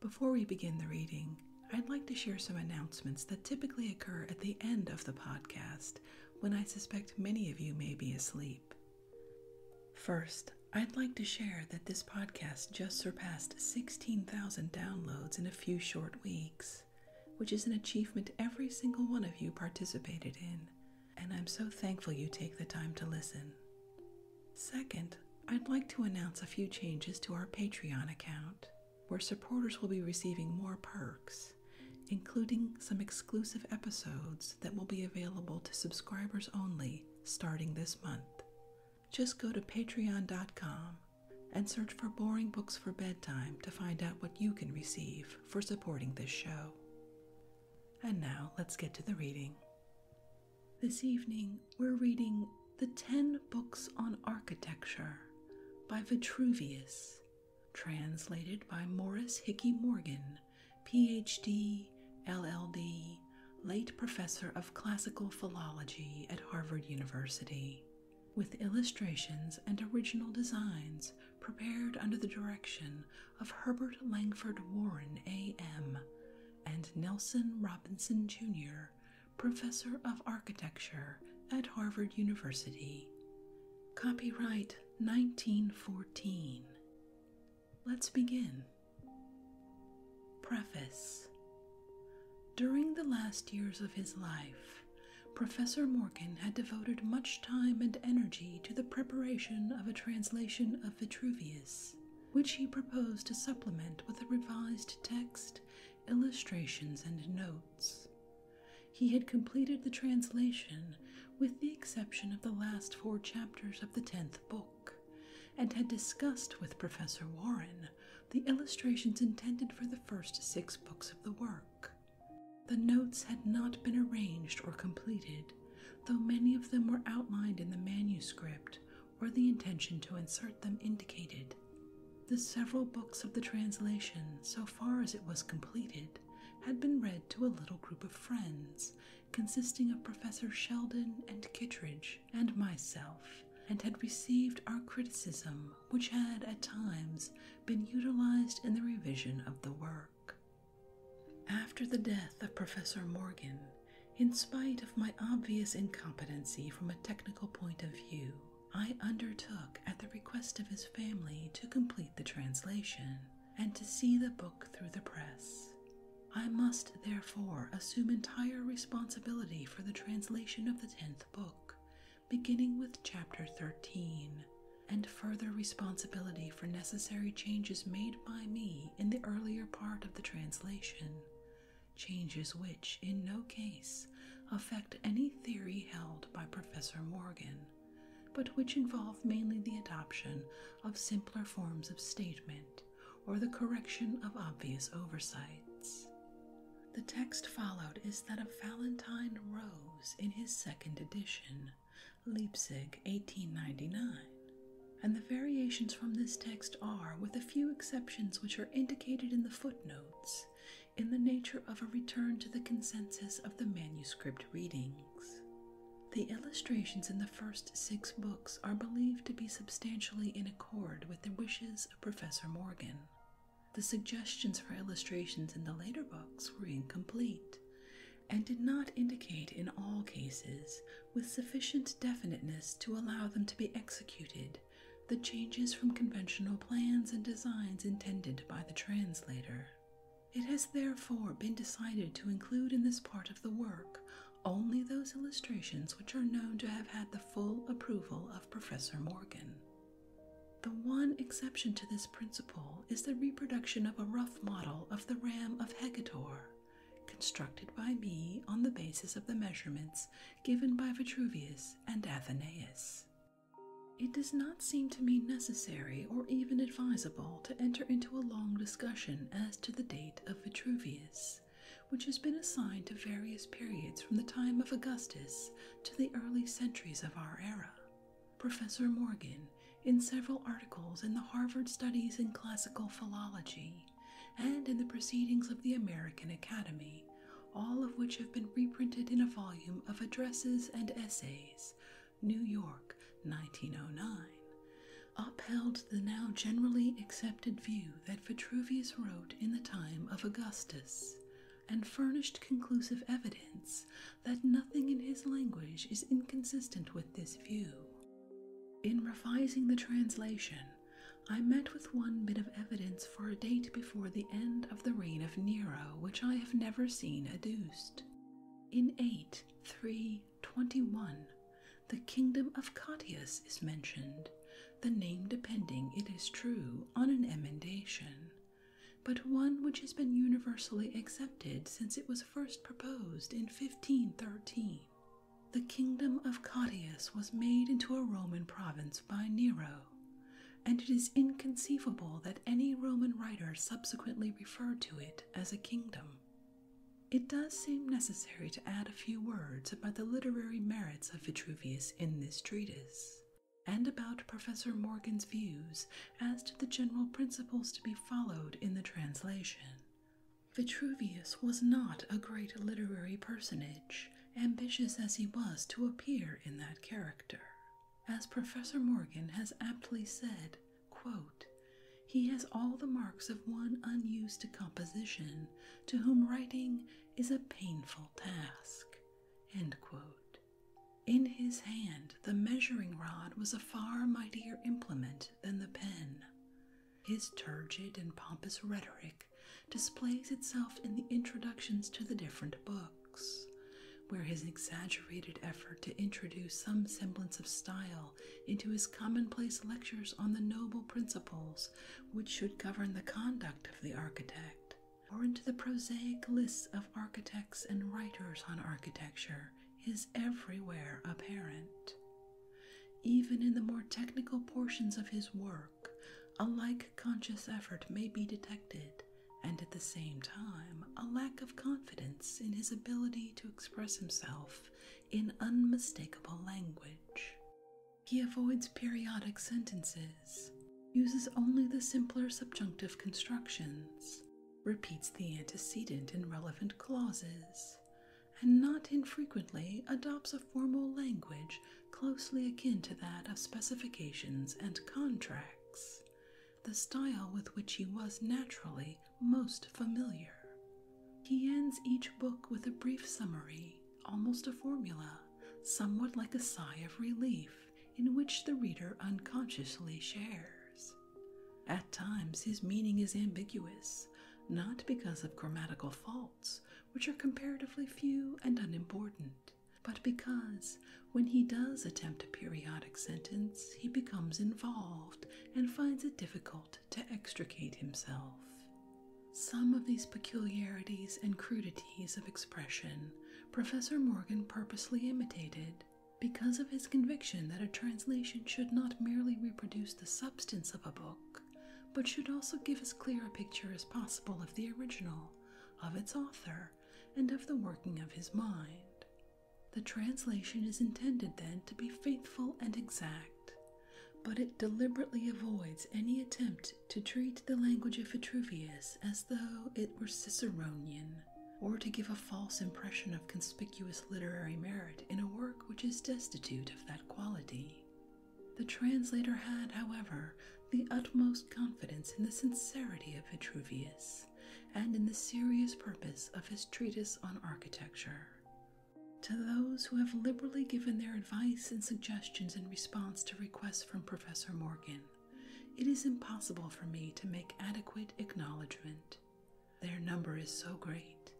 Before we begin the reading, I'd like to share some announcements that typically occur at the end of the podcast when I suspect many of you may be asleep. First, I'd like to share that this podcast just surpassed 16,000 downloads in a few short weeks, which is an achievement every single one of you participated in, and I'm so thankful you take the time to listen. Second, I'd like to announce a few changes to our Patreon account, where supporters will be receiving more perks, including some exclusive episodes that will be available to subscribers only starting this month. Just go to patreon.com and search for Boring Books for Bedtime to find out what you can receive for supporting this show. And now let's get to the reading. This evening, we're reading the 10 Books on Architecture by Vitruvius, translated by Morris Hickey Morgan, PhD, LLD, late professor of classical philology at Harvard University, with illustrations and original designs prepared under the direction of Herbert Langford Warren, AM, and Nelson Robinson, Jr., Professor of Architecture at Harvard University. Copyright 1914. Let's begin. Preface During the last years of his life, Professor Morgan had devoted much time and energy to the preparation of a translation of Vitruvius which he proposed to supplement with a revised text, illustrations, and notes. He had completed the translation with the exception of the last four chapters of the tenth book, and had discussed with Professor Warren the illustrations intended for the first six books of the work. The notes had not been arranged or completed, though many of them were outlined in the manuscript or the intention to insert them indicated. The several books of the translation, so far as it was completed, had been read to a little group of friends, consisting of Professor Sheldon and Kittredge and myself, and had received our criticism, which had at times been utilized in the revision of the work. After the death of Professor Morgan, in spite of my obvious incompetency from a technical point of view, I undertook, at the request of his family, to complete the translation and to see the book through the press. I must therefore assume entire responsibility for the translation of the tenth book, beginning with chapter 13, and further responsibility for necessary changes made by me in the earlier part of the translation, changes which, in no case, affect any theory held by Professor Morgan, but which involve mainly the adoption of simpler forms of statement or the correction of obvious oversights. The text followed is that of Valentine Rose in his second edition, Leipzig 1899, and the variations from this text are, with a few exceptions which are indicated in the footnotes, in the nature of a return to the consensus of the manuscript readings. The illustrations in the first six books are believed to be substantially in accord with the wishes of Professor Morgan. The suggestions for illustrations in the later books were incomplete and did not indicate in all cases with sufficient definiteness to allow them to be executed, the changes from conventional plans and designs intended by the translator. It has therefore been decided to include in this part of the work only those illustrations which are known to have had the full approval of Professor Morgan. The one exception to this principle is the reproduction of a rough model of the ram of Hecator, constructed by me on the basis of the measurements given by Vitruvius and Athenaeus. It does not seem to me necessary or even advisable to enter into a long discussion as to the date of Vitruvius, which has been assigned to various periods from the time of Augustus to the early centuries of our era. Professor Morgan, in several articles in the Harvard Studies in Classical Philology, and in the Proceedings of the American Academy, all of which have been reprinted in a volume of addresses and essays, New York, 1909, upheld the now generally accepted view that Vitruvius wrote in the time of Augustus, and furnished conclusive evidence that nothing in his language is inconsistent with this view. In revising the translation, I met with one bit of evidence for a date before the end of the reign of Nero, which I have never seen adduced. In 8 321, the kingdom of Catius is mentioned, the name depending, it is true, on an emendation, but one which has been universally accepted since it was first proposed in 1513. The kingdom of Catius was made into a Roman province by Nero, and it is inconceivable that any Roman writer subsequently referred to it as a kingdom. It does seem necessary to add a few words about the literary merits of Vitruvius in this treatise, and about Professor Morgan's views as to the general principles to be followed in the translation, Vitruvius was not a great literary personage, ambitious as he was to appear in that character. As Professor Morgan has aptly said, he has all the marks of one unused to composition, to whom writing is a painful task. In his hand, the measuring rod was a far mightier implement than the pen. His turgid and pompous rhetoric displays itself in the introductions to the different books, where his exaggerated effort to introduce some semblance of style into his commonplace lectures on the noble principles which should govern the conduct of the architect, or into the prosaic lists of architects and writers on architecture, is everywhere apparent. Even in the more technical portions of his work, a like conscious effort may be detected, and at the same time, a lack of confidence in his ability to express himself in unmistakable language. He avoids periodic sentences, uses only the simpler subjunctive constructions, repeats the antecedent in relevant clauses, and not infrequently adopts a formal language closely akin to that of specifications and contracts, the style with which he was naturally most familiar. He ends each book with a brief summary, almost a formula, somewhat like a sigh of relief in which the reader unconsciously shares. At times, his meaning is ambiguous, not because of grammatical fault which are comparatively few and unimportant, but because, when he does attempt a periodic sentence, he becomes involved and finds it difficult to extricate himself. Some of these peculiarities and crudities of expression Professor Morgan purposely imitated because of his conviction that a translation should not merely reproduce the substance of a book but should also give as clear a picture as possible of the original, of its author, and of the working of his mind. The translation is intended then to be faithful and exact, but it deliberately avoids any attempt to treat the language of Vitruvius as though it were Ciceronian, or to give a false impression of conspicuous literary merit in a work which is destitute of that quality. The translator had, however, the utmost confidence in the sincerity of Vitruvius and in the serious purpose of his treatise on architecture. To those who have liberally given their advice and suggestions in response to requests from Professor Morgan, it is impossible for me to make adequate acknowledgement. Their number is so great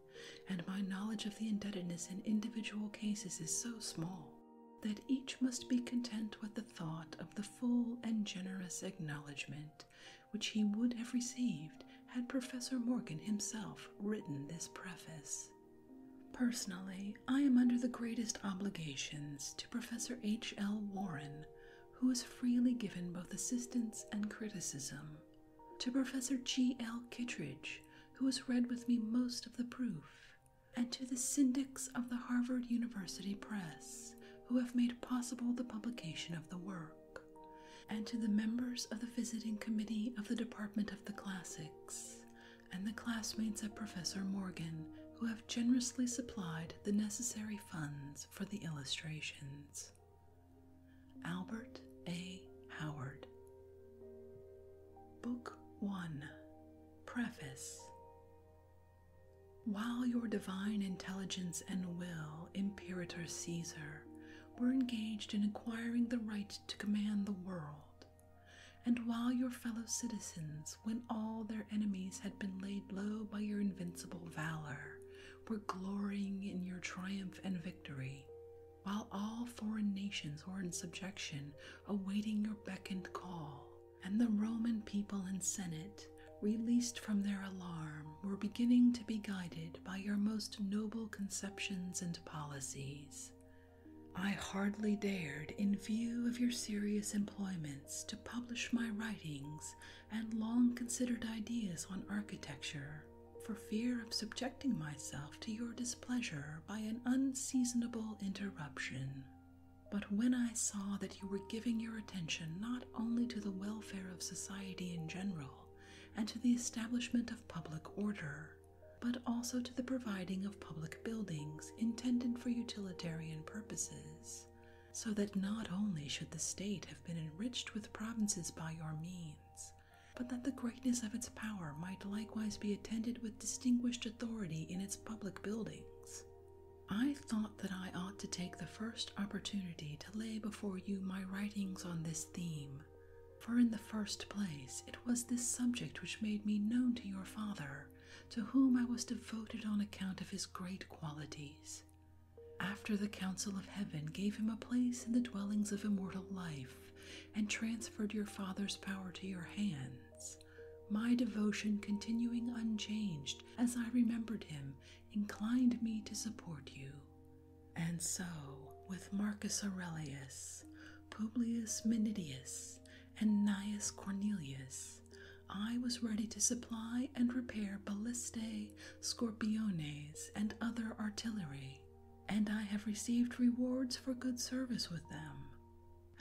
and my knowledge of the indebtedness in individual cases is so small that each must be content with the thought of the full and generous acknowledgment which he would have received had Professor Morgan himself written this preface. Personally, I am under the greatest obligations to Professor H. L. Warren, who has freely given both assistance and criticism to Professor G. L. Kittredge, who has read with me most of the proof, and to the syndics of the Harvard University Press, who have made possible the publication of the work, and to the members of the visiting committee of the Department of the Classics, and the classmates of Professor Morgan, who have generously supplied the necessary funds for the illustrations. Albert A. Howard. Book 1 Preface While your divine intelligence and will, Imperator Caesar, were engaged in acquiring the right to command the world, and while your fellow citizens, when all their enemies had been laid low by your invincible valor, were glorying in your triumph and victory, while all foreign nations were in subjection, awaiting your beckoned call. And the Roman people and Senate, released from their alarm, were beginning to be guided by your most noble conceptions and policies. I hardly dared, in view of your serious employments, to publish my writings and long considered ideas on architecture, for fear of subjecting myself to your displeasure by an unseasonable interruption. But when I saw that you were giving your attention not only to the welfare of society in general and to the establishment of public order, but also to the providing of public buildings intended for utilitarian purposes, so that not only should the state have been enriched with provinces by your means, but that the greatness of its power might likewise be attended with distinguished authority in its public buildings. I thought that I ought to take the first opportunity to lay before you my writings on this theme, for in the first place it was this subject which made me known to your father, to whom I was devoted on account of his great qualities. After the Council of Heaven gave him a place in the dwellings of immortal life, and transferred your Father's power to your hands. My devotion, continuing unchanged as I remembered him, inclined me to support you. And so, with Marcus Aurelius, Publius Minidius, and Gnaeus Cornelius, I was ready to supply and repair ballistae, scorpiones, and other artillery and I have received rewards for good service with them.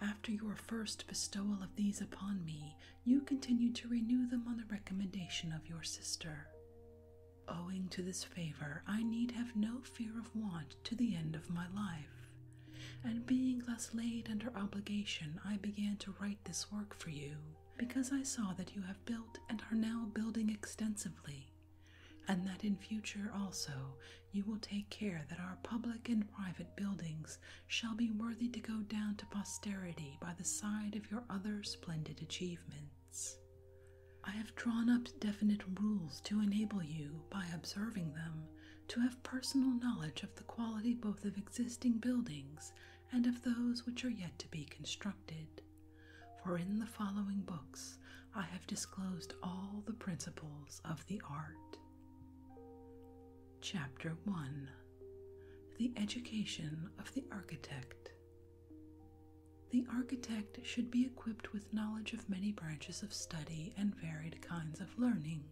After your first bestowal of these upon me, you continued to renew them on the recommendation of your sister. Owing to this favor, I need have no fear of want to the end of my life. And being thus laid under obligation, I began to write this work for you, because I saw that you have built and are now building extensively, and that in future also you will take care that our public and private buildings shall be worthy to go down to posterity by the side of your other splendid achievements. I have drawn up definite rules to enable you, by observing them, to have personal knowledge of the quality both of existing buildings and of those which are yet to be constructed. For in the following books I have disclosed all the principles of the art. Chapter 1 The Education of the Architect. The architect should be equipped with knowledge of many branches of study and varied kinds of learning,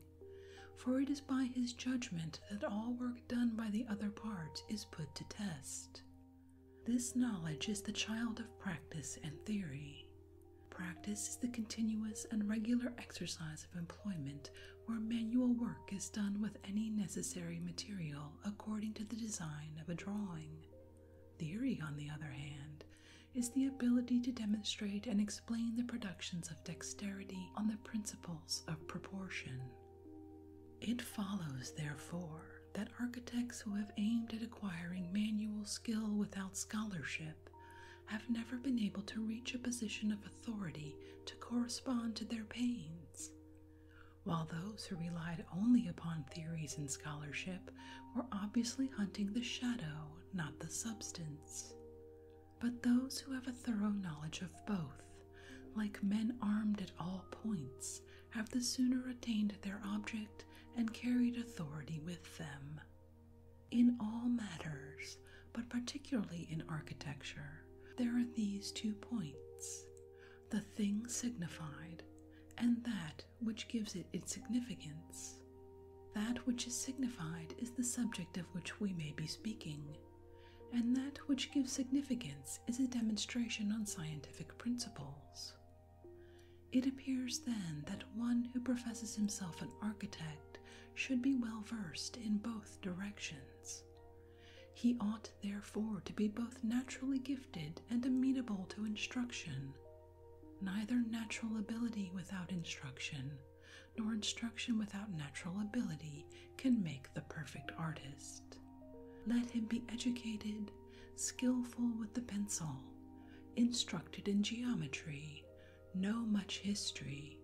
for it is by his judgment that all work done by the other parts is put to test. This knowledge is the child of practice and theory. Practice is the continuous and regular exercise of employment where manual work is done with any necessary material according to the design of a drawing. Theory, on the other hand, is the ability to demonstrate and explain the productions of dexterity on the principles of proportion. It follows, therefore, that architects who have aimed at acquiring manual skill without scholarship have never been able to reach a position of authority to correspond to their pains, while those who relied only upon theories and scholarship were obviously hunting the shadow, not the substance. But those who have a thorough knowledge of both, like men armed at all points, have the sooner attained their object and carried authority with them. In all matters, but particularly in architecture, there are these two points the thing signified, and that which gives it its significance. That which is signified is the subject of which we may be speaking, and that which gives significance is a demonstration on scientific principles. It appears then that one who professes himself an architect should be well versed in both directions. He ought therefore to be both naturally gifted and amenable to instruction, neither natural ability without instruction. Nor instruction without natural ability can make the perfect artist. Let him be educated skillful with the pencil, instructed in geometry, know much history,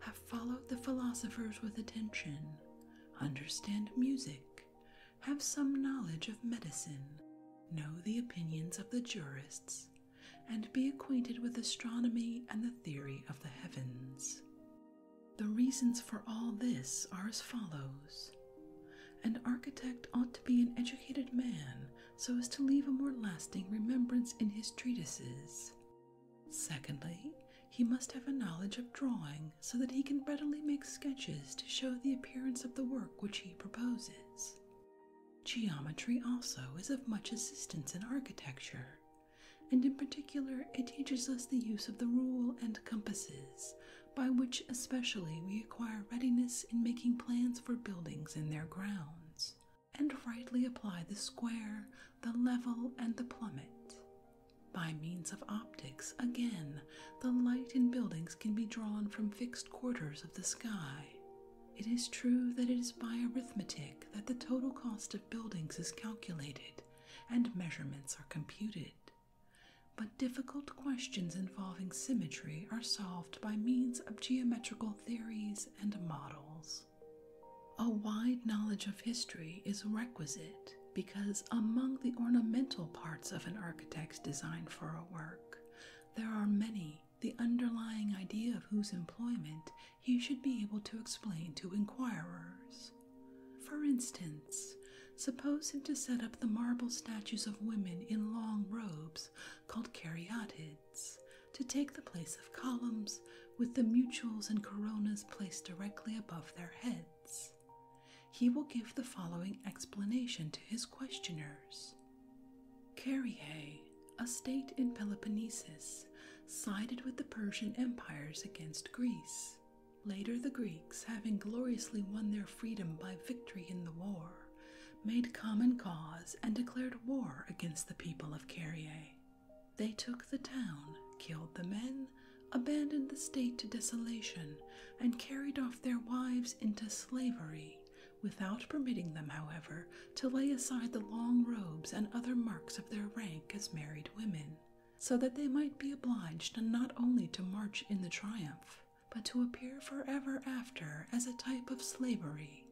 have followed the philosophers with attention, understand music, have some knowledge of medicine, know the opinions of the jurists, and be acquainted with astronomy and the theory of the heavens. The reasons for all this are as follows. An architect ought to be an educated man so as to leave a more lasting remembrance in his treatises. Secondly, he must have a knowledge of drawing so that he can readily make sketches to show the appearance of the work which he proposes. Geometry also is of much assistance in architecture, and in particular it teaches us the use of the rule and compasses, by which especially we acquire readiness in making plans for buildings in their grounds, and rightly apply the square, the level, and the plummet. By means of optics, again, the light in buildings can be drawn from fixed quarters of the sky. It is true that it is by arithmetic that the total cost of buildings is calculated and measurements are computed. But difficult questions involving symmetry are solved by means of geometrical theories and models. A wide knowledge of history is requisite because, among the ornamental parts of an architect's design for a work, there are many the underlying idea of whose employment he should be able to explain to inquirers. For instance, suppose him to set up the marble statues of women in long robes called caryatids to take the place of columns with the mutules and coronas placed directly above their heads. He will give the following explanation to his questioners. Caryae, a state in Peloponnesus, sided with the Persian empires against Greece. Later, the Greeks having gloriously won their freedom by victory in the war, made common cause and declared war against the people of Carrier. They took the town, killed the men, abandoned the state to desolation, and carried off their wives into slavery, without permitting them, however, to lay aside the long robes and other marks of their rank as married women, so that they might be obliged not only to march in the triumph, but to appear forever after as a type of slavery,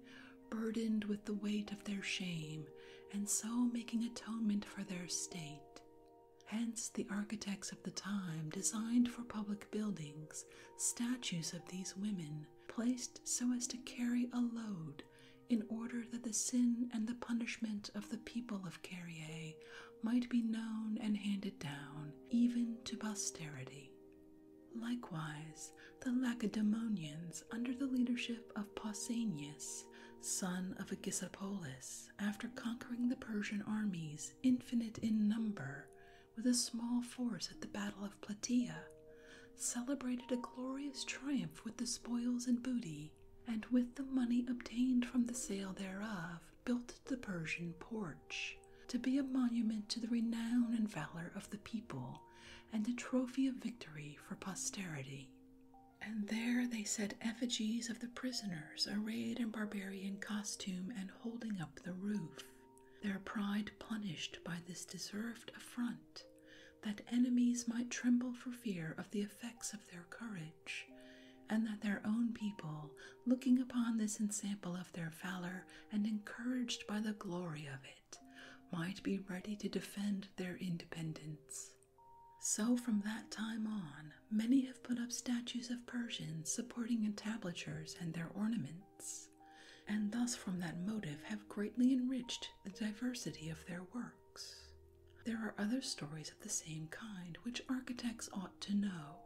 burdened with the weight of their shame, and so making atonement for their state. Hence, the architects of the time designed for public buildings statues of these women, placed so as to carry a load, in order that the sin and the punishment of the people of Carrier might be known and handed down even to posterity. Likewise, the Lacedaemonians, under the leadership of Pausanias, son of Agisipolus, after conquering the Persian armies, infinite in number, with a small force at the Battle of Plataea, celebrated a glorious triumph with the spoils and booty, and with the money obtained from the sale thereof, built the Persian porch, to be a monument to the renown and valor of the people, and a trophy of victory for posterity. And there they set effigies of the prisoners arrayed in barbarian costume and holding up the roof, their pride punished by this deserved affront, that enemies might tremble for fear of the effects of their courage, and that their own people looking upon this ensample of their valor and encouraged by the glory of it, might be ready to defend their independence. So from that time on, many have put up statues of Persians supporting entablatures and their ornaments, and thus from that motive have greatly enriched the diversity of their works. There are other stories of the same kind which architects ought to know.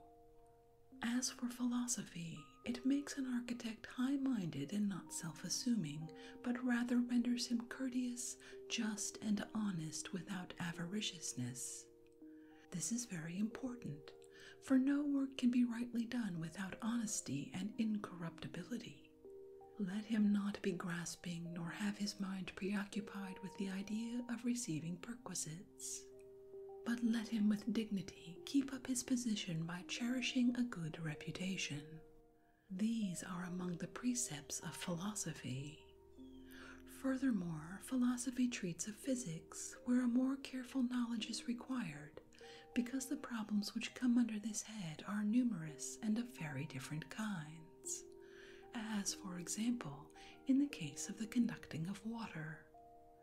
As for philosophy, it makes an architect high minded and not self assuming, but rather renders him courteous, just, and honest without avariciousness. This is very important, for no work can be rightly done without honesty and incorruptibility. Let him not be grasping nor have his mind preoccupied with the idea of receiving perquisites but let him with dignity keep up his position by cherishing a good reputation. These are among the precepts of philosophy. Furthermore, philosophy treats of physics, where a more careful knowledge is required, because the problems which come under this head are numerous and of very different kinds, as, for example, in the case of the conducting of water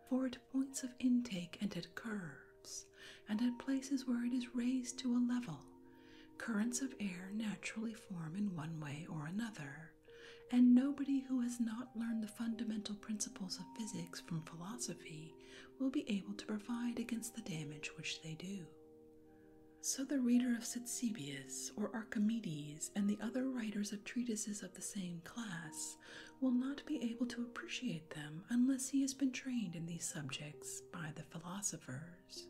for at points of intake and at curves, and at places where it is raised to a level, currents of air naturally form in one way or another, and nobody who has not learned the fundamental principles of physics from philosophy will be able to provide against the damage which they do. So the reader of Ctesibius or Archimedes and the other writers of treatises of the same class will not be able to appreciate them unless he has been trained in these subjects by the philosophers.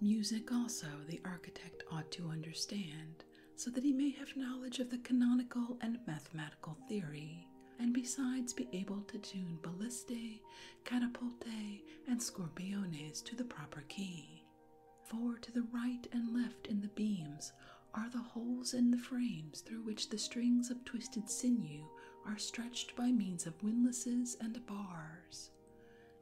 Music also the architect ought to understand, so that he may have knowledge of the canonical and mathematical theory, and besides be able to tune ballistae, catapulte, and scorpiones to the proper key. For to the right and left in the beams are the holes in the frames through which the strings of twisted sinew are stretched by means of windlasses and bars.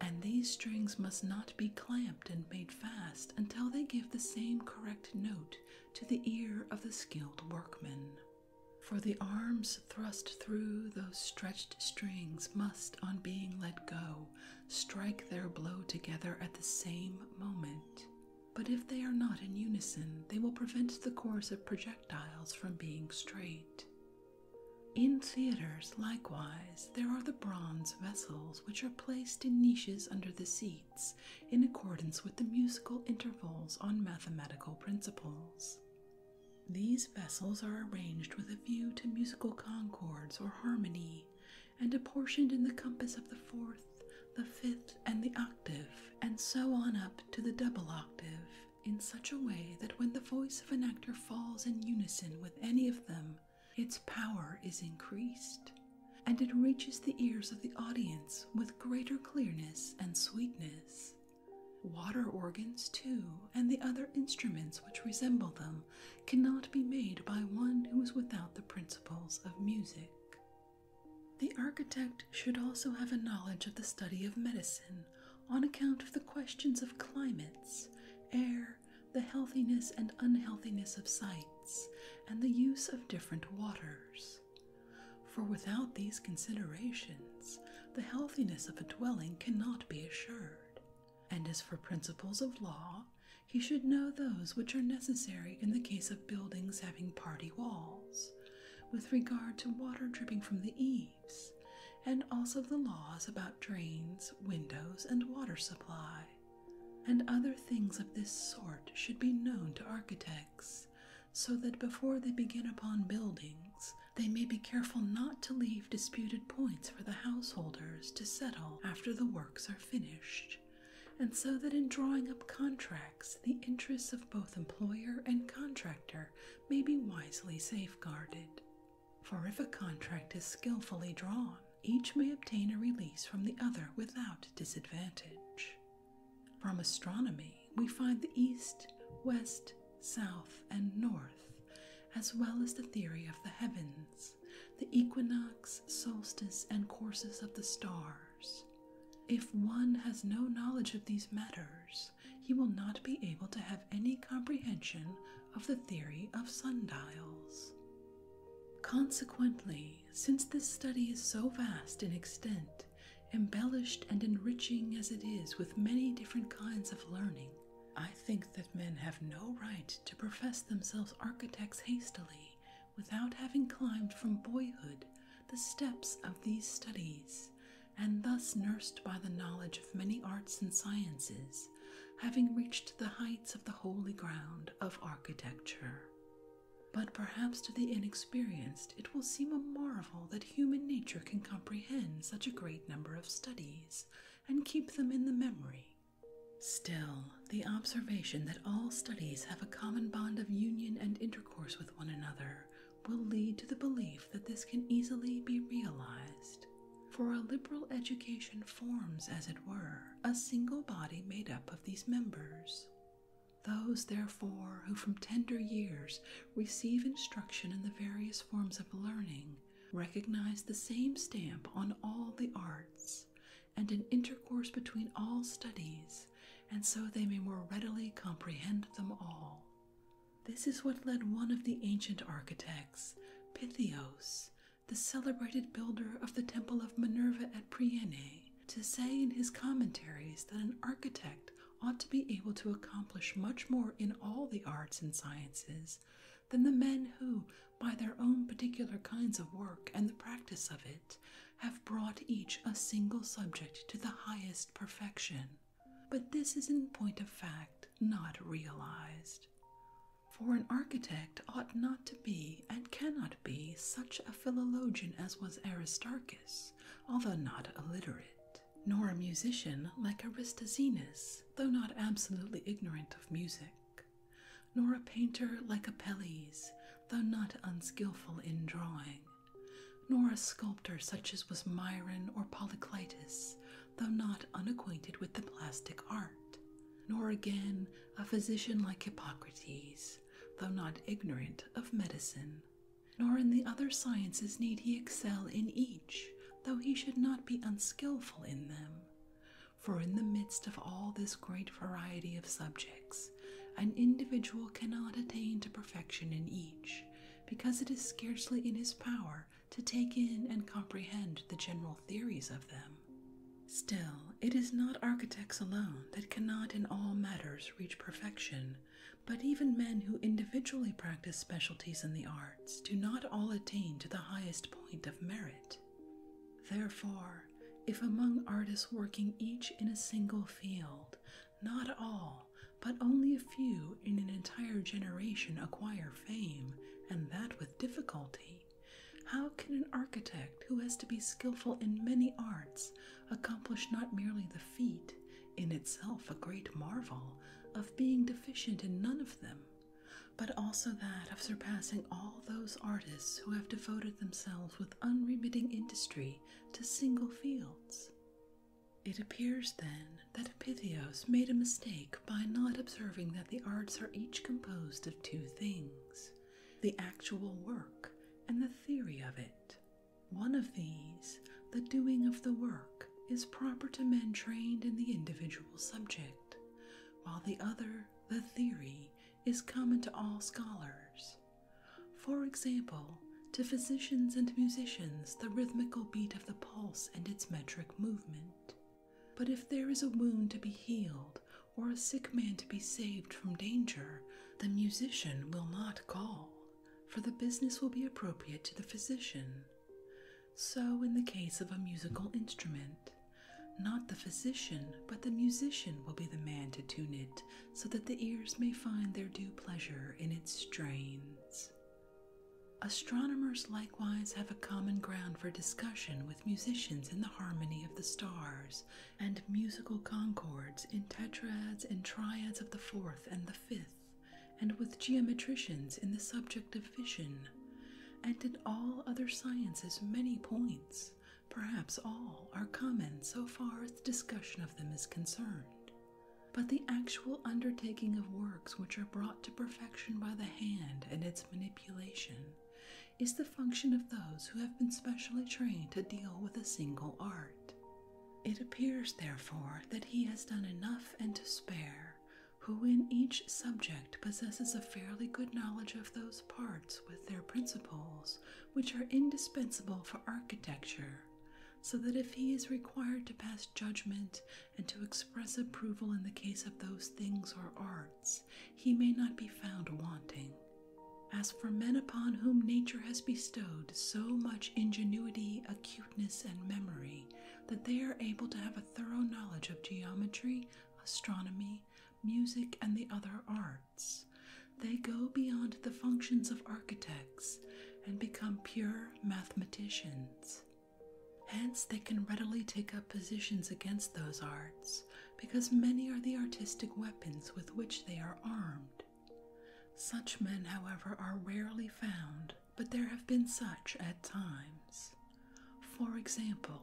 And these strings must not be clamped and made fast until they give the same correct note to the ear of the skilled workman. For the arms thrust through those stretched strings must, on being let go, strike their blow together at the same moment. But if they are not in unison, they will prevent the course of projectiles from being straight. In theaters, likewise, there are the bronze vessels which are placed in niches under the seats in accordance with the musical intervals on mathematical principles. These vessels are arranged with a view to musical concords or harmony, and apportioned in the compass of the fourth, the fifth, and the octave, and so on up to the double octave, in such a way that when the voice of an actor falls in unison with any of them, its power is increased, and it reaches the ears of the audience with greater clearness and sweetness. Water organs, too, and the other instruments which resemble them cannot be made by one who is without the principles of music. The architect should also have a knowledge of the study of medicine on account of the questions of climates, air, the healthiness and unhealthiness of sites, and the use of different waters. For without these considerations, the healthiness of a dwelling cannot be assured. And as for principles of law, he should know those which are necessary in the case of buildings having party walls, with regard to water dripping from the eaves, and also the laws about drains, windows, and water supply. And other things of this sort should be known to architects, so that before they begin upon buildings, they may be careful not to leave disputed points for the householders to settle after the works are finished and so that in drawing up contracts, the interests of both employer and contractor may be wisely safeguarded. For if a contract is skillfully drawn, each may obtain a release from the other without disadvantage. From astronomy, we find the east, west, south, and north, as well as the theory of the heavens, the equinox, solstice, and courses of the stars. If one has no knowledge of these matters, he will not be able to have any comprehension of the theory of sundials. Consequently, since this study is so vast in extent, embellished and enriching as it is with many different kinds of learning, I think that men have no right to profess themselves architects hastily, without having climbed from boyhood the steps of these studies, and thus nursed by the knowledge of many arts and sciences, having reached the heights of the holy ground of architecture. But perhaps to the inexperienced it will seem a marvel that human nature can comprehend such a great number of studies and keep them in the memory, Still, the observation that all studies have a common bond of union and intercourse with one another will lead to the belief that this can easily be realized. For a liberal education forms, as it were, a single body made up of these members. Those, therefore, who from tender years receive instruction in the various forms of learning recognize the same stamp on all the arts, and an intercourse between all studies, and so they may more readily comprehend them all. This is what led one of the ancient architects, Pythios, the celebrated builder of the temple of Minerva at Priene, to say in his commentaries that an architect ought to be able to accomplish much more in all the arts and sciences than the men who, by their own particular kinds of work and the practice of it, have brought each a single subject to the highest perfection. But this is in point of fact not realized. For an architect ought not to be, and cannot be, such a philologian as was Aristarchus, although not illiterate, nor a musician like Aristoxenus, though not absolutely ignorant of music, nor a painter like Apelles, though not unskilful in drawing, nor a sculptor such as was Myron or Polyclitus, though not unacquainted with the plastic art, nor again a physician like Hippocrates, though not ignorant of medicine. Nor in the other sciences need he excel in each, though he should not be unskilful in them, for in the midst of all this great variety of subjects, an individual cannot attain to perfection in each, because it is scarcely in his power to take in and comprehend the general theories of them. Still, it is not architects alone that cannot in all matters reach perfection, but even men who individually practice specialties in the arts do not all attain to the highest point of merit. Therefore, if among artists working each in a single field, not all, but only a few in an entire generation acquire fame, and that with difficulty. How can an architect who has to be skilful in many arts accomplish not merely the feat, in itself a great marvel, of being deficient in none of them, but also that of surpassing all those artists who have devoted themselves with unremitting industry to single fields. It appears, then, that Epithios made a mistake by not observing that the arts are each composed of two things the actual work and the theory of it. One of these, the doing of the work, is proper to men trained in the individual subject, while the other, the theory, is common to all scholars. For example, to physicians and musicians, the rhythmical beat of the pulse and its metric movement. But if there is a wound to be healed or a sick man to be saved from danger, the musician will not call, for the business will be appropriate to the physician. So, in the case of a musical instrument, not the physician, but the musician will be the man to tune it so that the ears may find their due pleasure in its strains. Astronomers likewise have a common ground for discussion with musicians in the harmony of the stars and musical concords in tetrads and triads of the fourth and the fifth, and with geometricians in the subject of vision and in all other sciences many points, perhaps all, are common so far as the discussion of them is concerned. But the actual undertaking of works which are brought to perfection by the hand and its manipulation is the function of those who have been specially trained to deal with a single art. It appears, therefore, that he has done enough and to spare who in each subject possesses a fairly good knowledge of those parts with their principles, which are indispensable for architecture, so that if he is required to pass judgment and to express approval in the case of those things or arts, he may not be found wanting. As for men upon whom nature has bestowed so much ingenuity, acuteness, and memory, that they are able to have a thorough knowledge of geometry, astronomy, music, and the other arts. They go beyond the functions of architects and become pure mathematicians. Hence, they can readily take up positions against those arts because many are the artistic weapons with which they are armed. Such men, however, are rarely found, but there have been such at times. For example,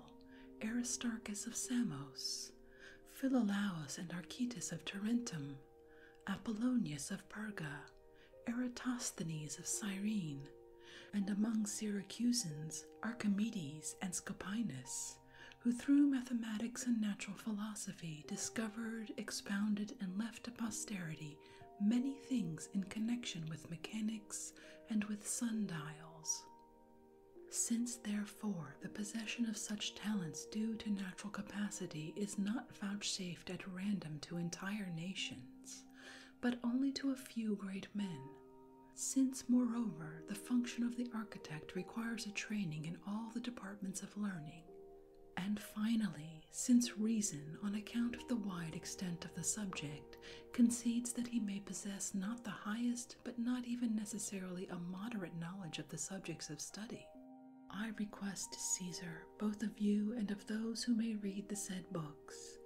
Aristarchus of Samos, Philolaus and Archytas of Tarentum, Apollonius of Perga, Eratosthenes of Cyrene, and among Syracusans, Archimedes and Scopinus, who through mathematics and natural philosophy discovered, expounded, and left to posterity many things in connection with mechanics and with sundials. Since, therefore, the possession of such talents due to natural capacity is not vouchsafed at random to entire nations, but only to a few great men, since, moreover, the function of the architect requires a training in all the departments of learning, and finally, since reason, on account of the wide extent of the subject, concedes that he may possess not the highest but not even necessarily a moderate knowledge of the subjects of study. I request, Caesar, both of you and of those who may read the said books,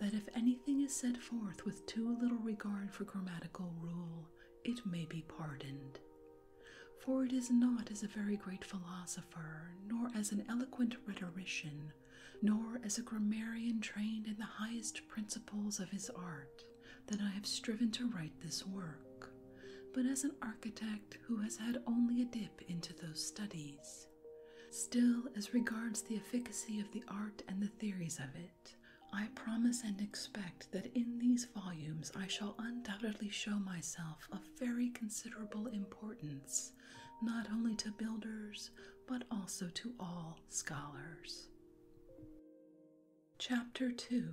that if anything is set forth with too little regard for grammatical rule, it may be pardoned. For it is not as a very great philosopher, nor as an eloquent rhetorician, nor as a grammarian trained in the highest principles of his art, that I have striven to write this work, but as an architect who has had only a dip into those studies. Still, as regards the efficacy of the art and the theories of it, I promise and expect that in these volumes I shall undoubtedly show myself of very considerable importance, not only to builders, but also to all scholars. Chapter 2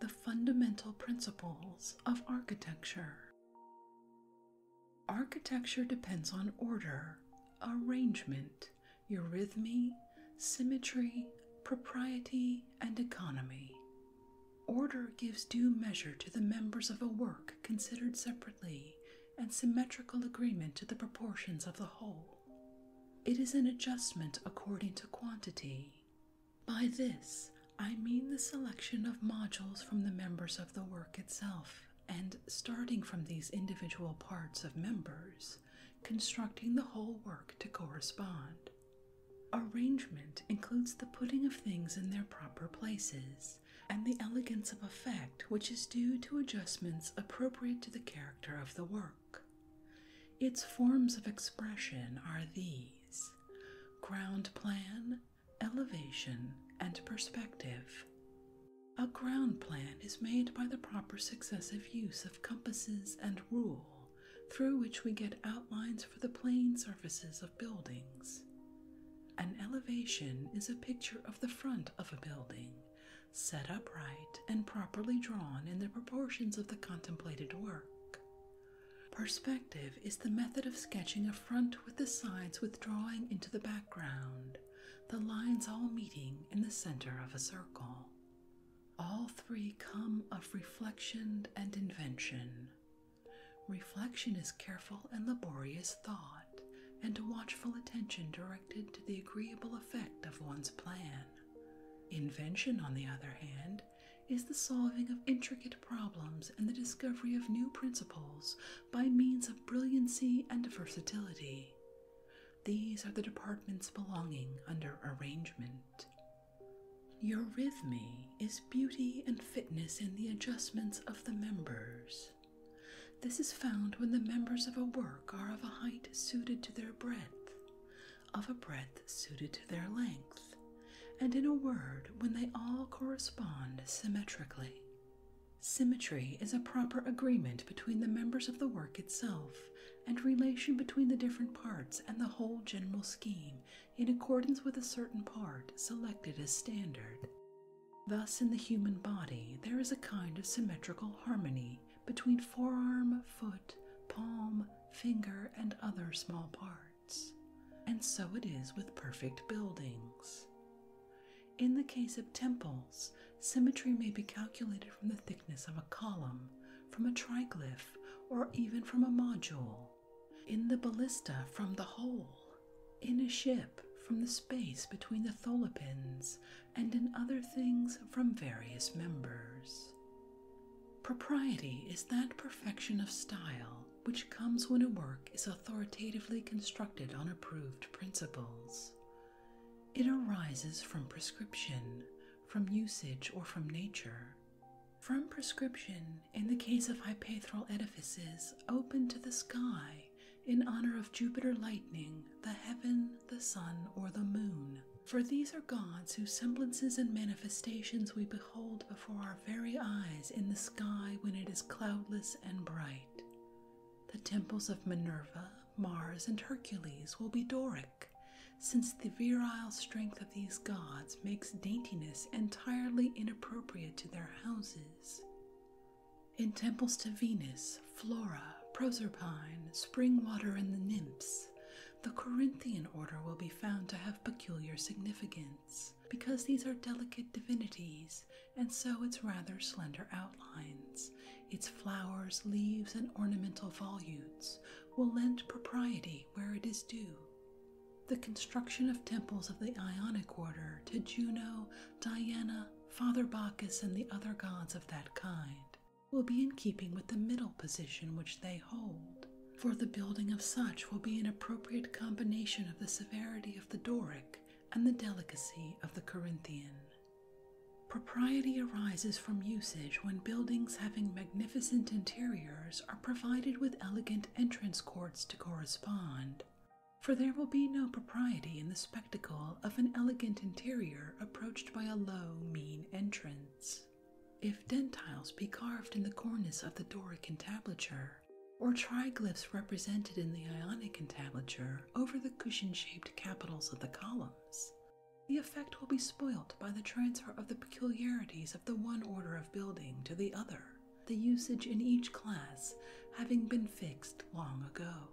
The Fundamental Principles of Architecture Architecture depends on order, arrangement, eurythmy, symmetry, propriety, and economy. Order gives due measure to the members of a work considered separately and symmetrical agreement to the proportions of the whole. It is an adjustment according to quantity. By this, I mean the selection of modules from the members of the work itself, and starting from these individual parts of members, constructing the whole work to correspond. Arrangement includes the putting of things in their proper places, and the elegance of effect which is due to adjustments appropriate to the character of the work. Its forms of expression are these ground plan, elevation, and perspective. A ground plan is made by the proper successive use of compasses and rule, through which we get outlines for the plane surfaces of buildings. An elevation is a picture of the front of a building, set upright and properly drawn in the proportions of the contemplated work. Perspective is the method of sketching a front with the sides withdrawing into the background, the lines all meeting in the center of a circle. All three come of reflection and invention. Reflection is careful and laborious thought and a watchful attention directed to the agreeable effect of one's plan. Invention, on the other hand, is the solving of intricate problems and the discovery of new principles by means of brilliancy and versatility. These are the departments belonging under arrangement. Eurythmy is beauty and fitness in the adjustments of the members. This is found when the members of a work are of a height suited to their breadth, of a breadth suited to their length, and in a word, when they all correspond symmetrically. Symmetry is a proper agreement between the members of the work itself and relation between the different parts and the whole general scheme in accordance with a certain part selected as standard. Thus, in the human body, there is a kind of symmetrical harmony between forearm, foot, palm, finger, and other small parts, and so it is with perfect buildings. In the case of temples, symmetry may be calculated from the thickness of a column, from a triglyph, or even from a module. In the ballista, from the hole; In a ship, from the space between the tholopins and in other things from various members. Propriety is that perfection of style which comes when a work is authoritatively constructed on approved principles. It arises from prescription, from usage, or from nature. From prescription, in the case of hypaethral edifices open to the sky in honor of Jupiter Lightning, the heaven, the sun, or the moon. For these are gods whose semblances and manifestations we behold before our very eyes in the sky when it is cloudless and bright. The temples of Minerva, Mars, and Hercules will be Doric, since the virile strength of these gods makes daintiness entirely inappropriate to their houses. In temples to Venus, Flora, Proserpine, Spring Water, and the nymphs, the Corinthian order will be found to have peculiar significance because these are delicate divinities, and so its rather slender outlines, its flowers, leaves, and ornamental volutes will lend propriety where it is due. The construction of temples of the Ionic order to Juno, Diana, Father Bacchus and the other gods of that kind will be in keeping with the middle position which they hold, for the building of such will be an appropriate combination of the severity of the Doric and the delicacy of the Corinthian. Propriety arises from usage when buildings having magnificent interiors are provided with elegant entrance courts to correspond, for there will be no propriety in the spectacle of an elegant interior approached by a low, mean entrance. If dentiles be carved in the cornice of the Doric entablature, or triglyphs represented in the Ionic entablature over the cushion shaped capitals of the columns, the effect will be spoilt by the transfer of the peculiarities of the one order of building to the other, the usage in each class having been fixed long ago.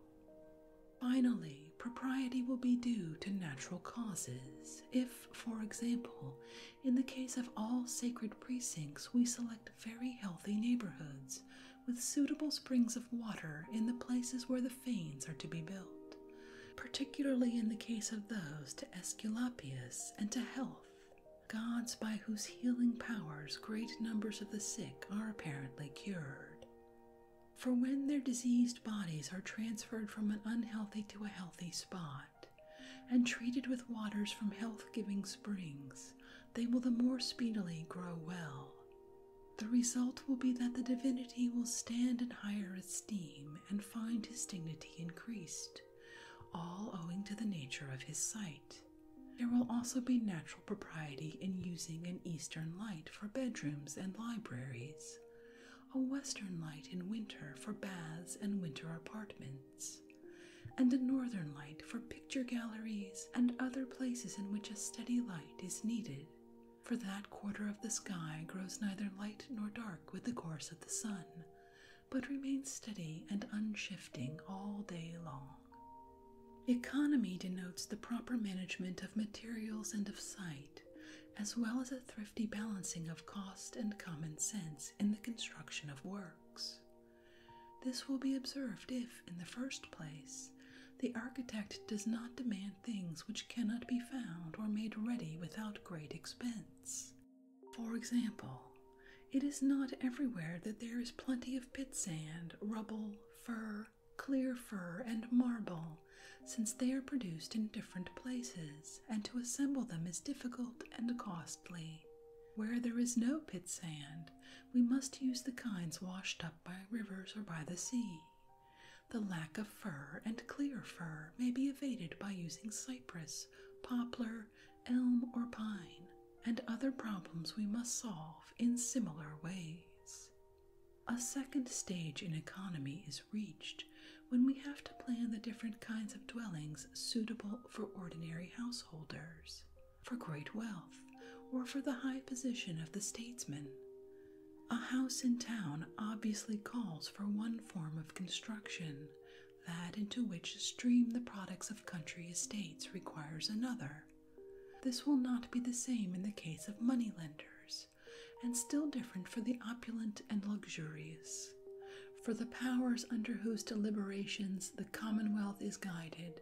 Finally, propriety will be due to natural causes if, for example, in the case of all sacred precincts, we select very healthy neighborhoods with suitable springs of water in the places where the fanes are to be built, particularly in the case of those to Aesculapius and to health, gods by whose healing powers great numbers of the sick are apparently cured. For when their diseased bodies are transferred from an unhealthy to a healthy spot, and treated with waters from health giving springs, they will the more speedily grow well. The result will be that the divinity will stand in higher esteem and find his dignity increased, all owing to the nature of his sight. There will also be natural propriety in using an eastern light for bedrooms and libraries, a western light in winter for baths and winter apartments, and a northern light for picture galleries and other places in which a steady light is needed, for that quarter of the sky grows neither light nor dark with the course of the sun, but remains steady and unshifting all day long. Economy denotes the proper management of materials and of site, as well as a thrifty balancing of cost and common sense in the construction of works. This will be observed if, in the first place, the architect does not demand things which cannot be found or made ready without great expense. For example, it is not everywhere that there is plenty of pit sand, rubble, fur, clear fir and marble, since they are produced in different places, and to assemble them is difficult and costly. Where there is no pit sand, we must use the kinds washed up by rivers or by the sea. The lack of fir and clear fir may be evaded by using cypress, poplar, elm, or pine, and other problems we must solve in similar ways. A second stage in economy is reached when we have to plan the different kinds of dwellings suitable for ordinary householders, for great wealth, or for the high position of the statesman. A house in town obviously calls for one form of construction. That into which stream the products of country estates requires another, this will not be the same in the case of moneylenders, and still different for the opulent and luxurious. For the powers under whose deliberations the Commonwealth is guided,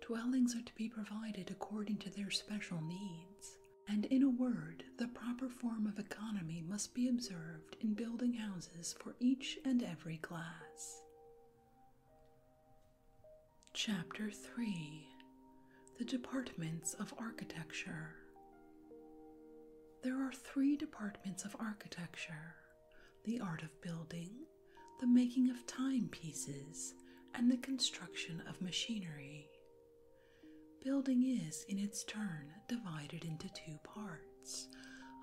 dwellings are to be provided according to their special needs. And in a word, the proper form of economy must be observed in building houses for each and every class. Chapter 3 The Departments of Architecture. There are three departments of architecture the art of building, the making of timepieces, and the construction of machinery. Building is, in its turn, divided into two parts,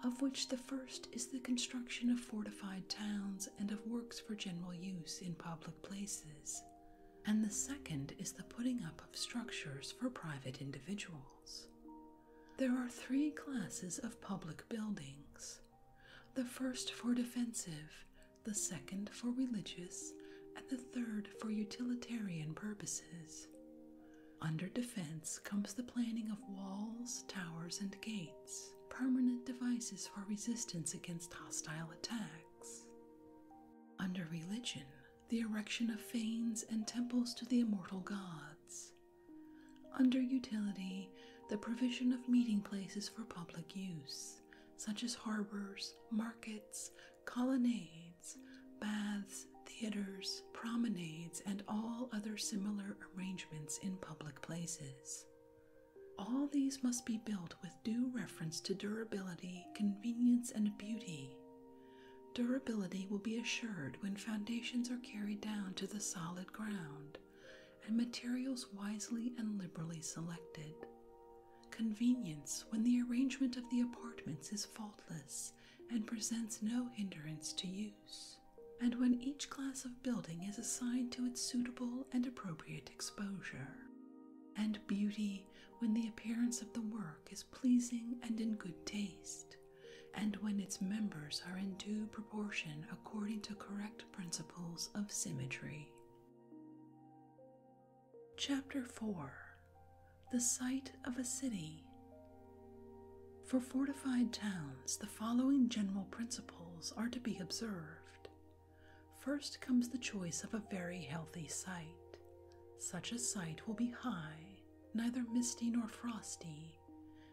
of which the first is the construction of fortified towns and of works for general use in public places, and the second is the putting up of structures for private individuals. There are three classes of public buildings the first for defensive, the second for religious, and the third for utilitarian purposes. Under defense comes the planning of walls, towers, and gates permanent devices for resistance against hostile attacks. Under religion, the erection of fanes and temples to the immortal gods. Under utility, the provision of meeting places for public use, such as harbors, markets, colonnades, baths, theaters, promenades, and all other similar arrangements in public places. All these must be built with due reference to durability, convenience, and beauty. Durability will be assured when foundations are carried down to the solid ground and materials wisely and liberally selected. Convenience when the arrangement of the apartments is faultless and presents no hindrance to use, and when each class of building is assigned to its suitable and appropriate exposure, and beauty when the appearance of the work is pleasing and in good taste, and when its members are in due proportion according to correct principles of symmetry. Chapter 4 The Site of a City. For fortified towns, the following general principles are to be observed First comes the choice of a very healthy site. Such a site will be high, neither misty nor frosty,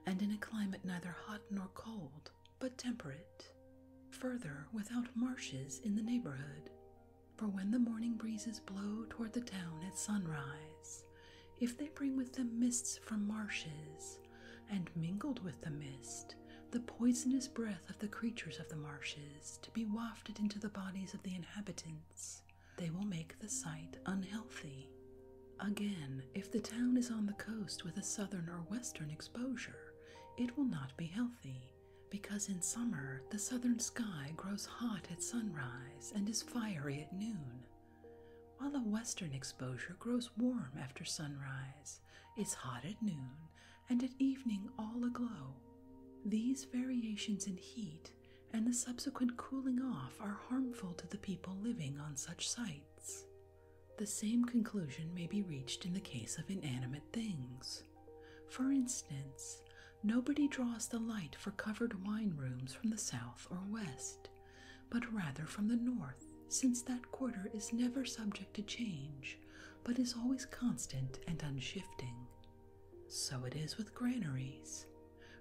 and in a climate neither hot nor cold, but temperate. Further, without marshes in the neighborhood. For when the morning breezes blow toward the town at sunrise, if they bring with them mists from marshes, and mingled with the mist the poisonous breath of the creatures of the marshes to be wafted into the bodies of the inhabitants. They will make the site unhealthy. Again, if the town is on the coast with a southern or western exposure, it will not be healthy, because in summer the southern sky grows hot at sunrise and is fiery at noon, while a western exposure grows warm after sunrise it's hot at noon, and at evening all aglow. These variations in heat and the subsequent cooling off are harmful to the people living on such sites. The same conclusion may be reached in the case of inanimate things. For instance, nobody draws the light for covered wine rooms from the south or west, but rather from the north, since that quarter is never subject to change, but is always constant and unshifting. So it is with granaries.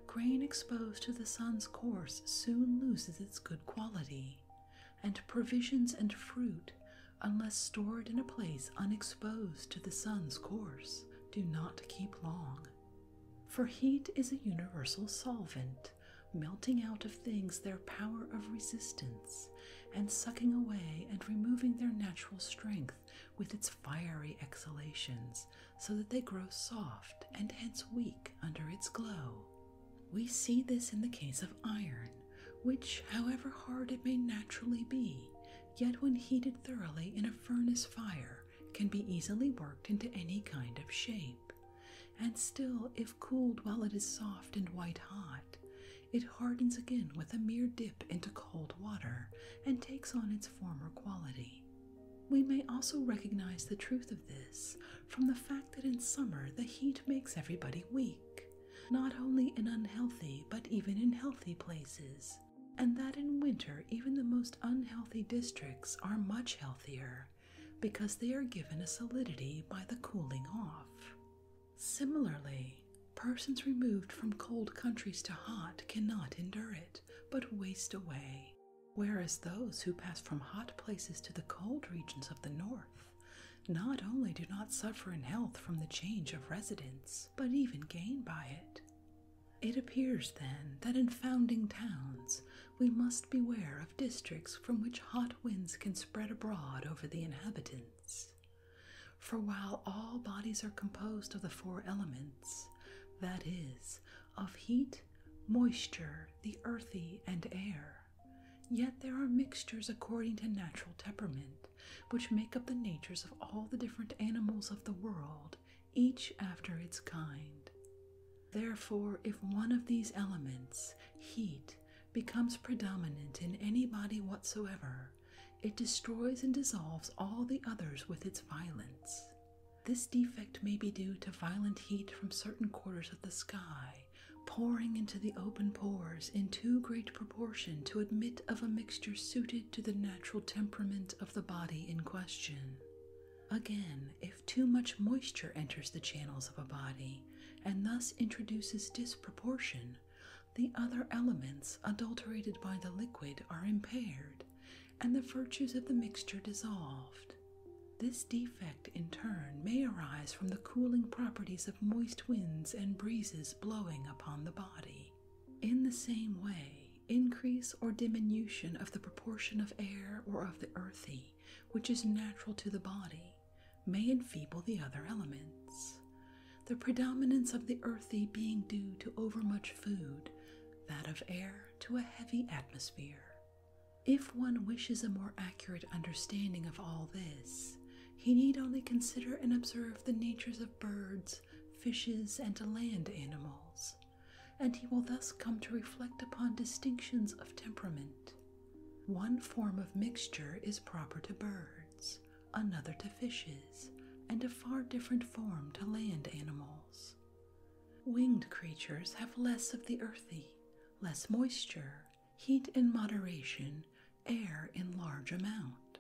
Grain exposed to the sun's course soon loses its good quality, and provisions and fruit, unless stored in a place unexposed to the sun's course, do not keep long. For heat is a universal solvent, melting out of things their power of resistance and sucking away and removing their natural strength with its fiery exhalations, so that they grow soft and hence weak under its glow. We see this in the case of iron, which, however hard it may naturally be, yet when heated thoroughly in a furnace fire, can be easily worked into any kind of shape. And still, if cooled while it is soft and white hot, it hardens again with a mere dip into cold water and takes on its former quality. We may also recognize the truth of this from the fact that in summer the heat makes everybody weak, not only in unhealthy but even in healthy places, and that in winter even the most unhealthy districts are much healthier because they are given a solidity by the cooling off. Similarly, persons removed from cold countries to hot cannot endure it, but waste away, whereas those who pass from hot places to the cold regions of the north not only do not suffer in health from the change of residence, but even gain by it. It appears, then, that in founding towns we must beware of districts from which hot winds can spread abroad over the inhabitants. For while all bodies are composed of the four elements, that is, of heat, moisture, the earthy, and air, yet there are mixtures according to natural temperament, which make up the natures of all the different animals of the world, each after its kind. Therefore, if one of these elements, heat, becomes predominant in any body whatsoever, it destroys and dissolves all the others with its violence. This defect may be due to violent heat from certain quarters of the sky, pouring into the open pores in too great proportion to admit of a mixture suited to the natural temperament of the body in question. Again, if too much moisture enters the channels of a body, and thus introduces disproportion, the other elements adulterated by the liquid are impaired and the virtues of the mixture dissolved. This defect, in turn, may arise from the cooling properties of moist winds and breezes blowing upon the body. In the same way, increase or diminution of the proportion of air or of the earthy, which is natural to the body, may enfeeble the other elements. The predominance of the earthy being due to overmuch food, that of air to a heavy atmosphere. If one wishes a more accurate understanding of all this, he need only consider and observe the natures of birds, fishes, and land animals, and he will thus come to reflect upon distinctions of temperament, one form of mixture is proper to birds, another to fishes, and a far different form to land animals. Winged creatures have less of the earthy, less moisture, heat in moderation, air in large amount.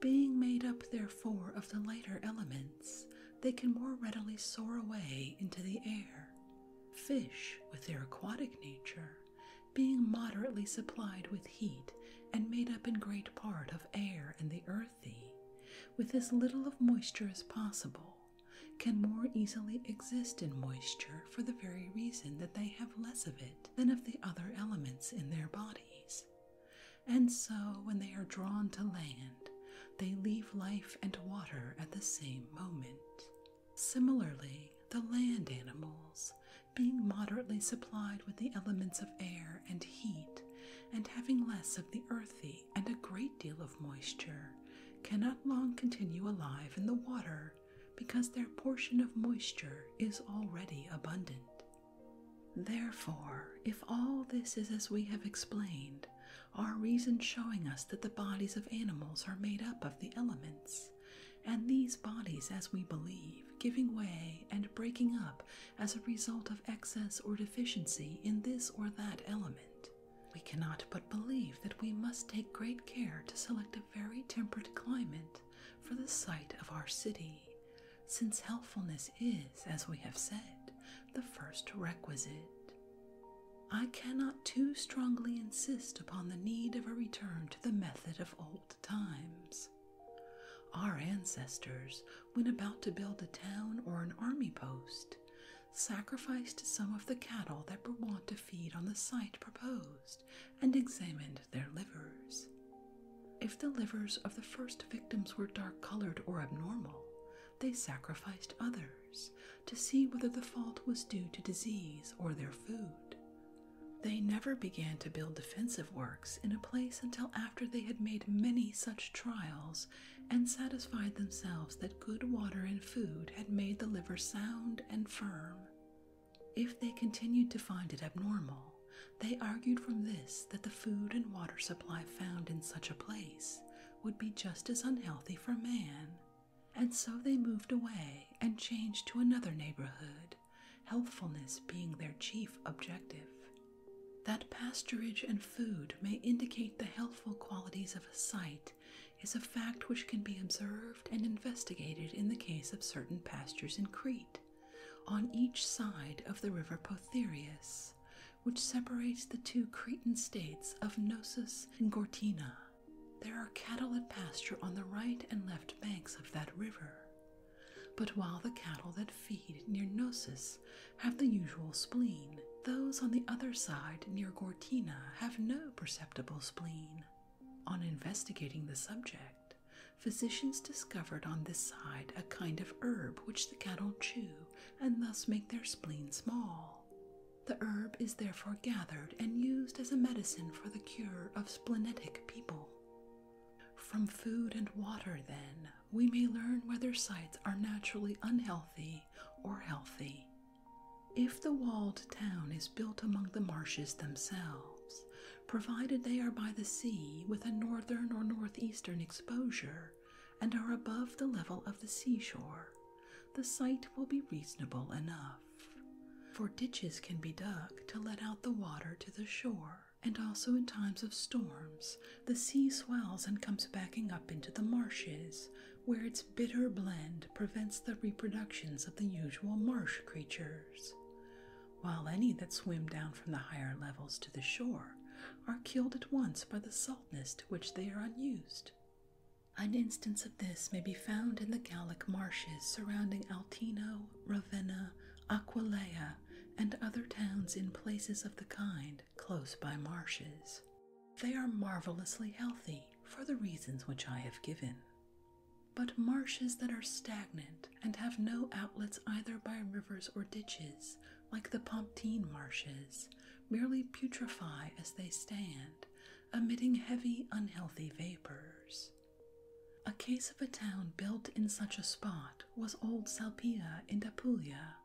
Being made up, therefore, of the lighter elements, they can more readily soar away into the air. Fish, with their aquatic nature, being moderately supplied with heat and made up in great part of air and the earthy, with as little of moisture as possible, can more easily exist in moisture for the very reason that they have less of it than of the other elements in their bodies. And so, when they are drawn to land, they leave life and water at the same moment. Similarly, the land animals, being moderately supplied with the elements of air and heat, and having less of the earthy and a great deal of moisture, cannot long continue alive in the water because their portion of moisture is already abundant. Therefore, if all this is as we have explained, our reason showing us that the bodies of animals are made up of the elements, and these bodies, as we believe, giving way and breaking up as a result of excess or deficiency in this or that element. We cannot but believe that we must take great care to select a very temperate climate for the site of our city, since healthfulness is, as we have said, the first requisite. I cannot too strongly insist upon the need of a return to the method of old times. Our ancestors, when about to build a town or an army post, sacrificed some of the cattle that were wont to feed on the site proposed and examined their livers. If the livers of the first victims were dark colored or abnormal, they sacrificed others to see whether the fault was due to disease or their food. They never began to build defensive works in a place until after they had made many such trials and satisfied themselves that good water and food had made the liver sound and firm. If they continued to find it abnormal, they argued from this that the food and water supply found in such a place would be just as unhealthy for man and so they moved away and changed to another neighborhood, healthfulness being their chief objective. That pasturage and food may indicate the healthful qualities of a site is a fact which can be observed and investigated in the case of certain pastures in Crete, on each side of the river Potherius, which separates the two Cretan states of Gnosis and Gortyna. There are cattle at pasture on the right and left banks of that river. But while the cattle that feed near Gnosis have the usual spleen, those on the other side near Gortina have no perceptible spleen. On investigating the subject, physicians discovered on this side a kind of herb which the cattle chew and thus make their spleen small. The herb is therefore gathered and used as a medicine for the cure of splenetic people. From food and water, then, we may learn whether sites are naturally unhealthy or healthy. If the walled town is built among the marshes themselves, provided they are by the sea with a northern or northeastern exposure and are above the level of the seashore, the site will be reasonable enough for ditches can be dug to let out the water to the shore, and also in times of storms the sea swells and comes backing up into the marshes, where its bitter blend prevents the reproductions of the usual marsh creatures. While any that swim down from the higher levels to the shore are killed at once by the saltness to which they are unused. An instance of this may be found in the Gallic marshes surrounding Altino, Ravenna, Aquileia, and other towns in places of the kind close by marshes. They are marvelously healthy for the reasons which I have given. But marshes that are stagnant and have no outlets either by rivers or ditches, like the Pontine marshes, merely putrefy as they stand emitting heavy, unhealthy vapors. A case of a town built in such a spot was old Salpia in Apulia,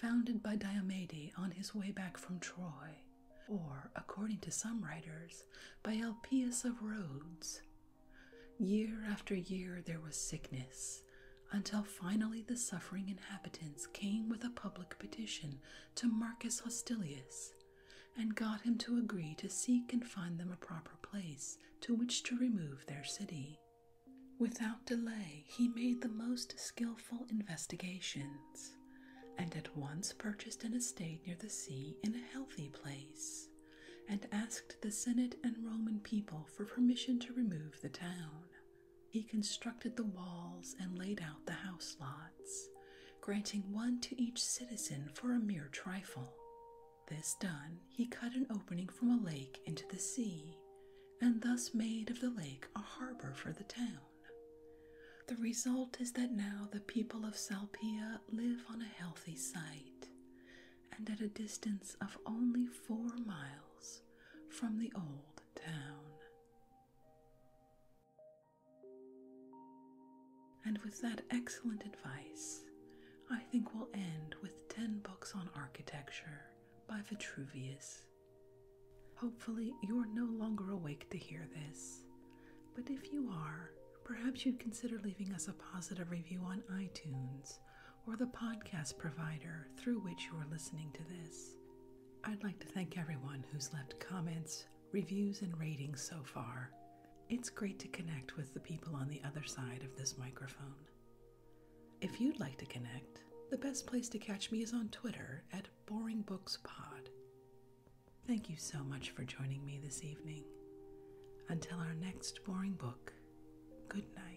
founded by Diomede on his way back from Troy, or, according to some writers, by Elpias of Rhodes. Year after year there was sickness, until finally the suffering inhabitants came with a public petition to Marcus Hostilius, and got him to agree to seek and find them a proper place to which to remove their city. Without delay, he made the most skilful investigations, and at once purchased an estate near the sea in a healthy place, and asked the Senate and Roman people for permission to remove the town. He constructed the walls and laid out the house lots, granting one to each citizen for a mere trifle. This done, he cut an opening from a lake into the sea, and thus made of the lake a harbor for the town. The result is that now the people of Salpia live on a healthy site, and at a distance of only four miles from the old town. And with that excellent advice, I think we'll end with 10 books on architecture by Vitruvius. Hopefully, you're no longer awake to hear this, but if you are, perhaps you'd consider leaving us a positive review on iTunes or the podcast provider through which you are listening to this. I'd like to thank everyone who's left comments, reviews, and ratings so far. It's great to connect with the people on the other side of this microphone. If you'd like to connect, the best place to catch me is on Twitter at Boring Books Pod. Thank you so much for joining me this evening. Until our next boring book, good night.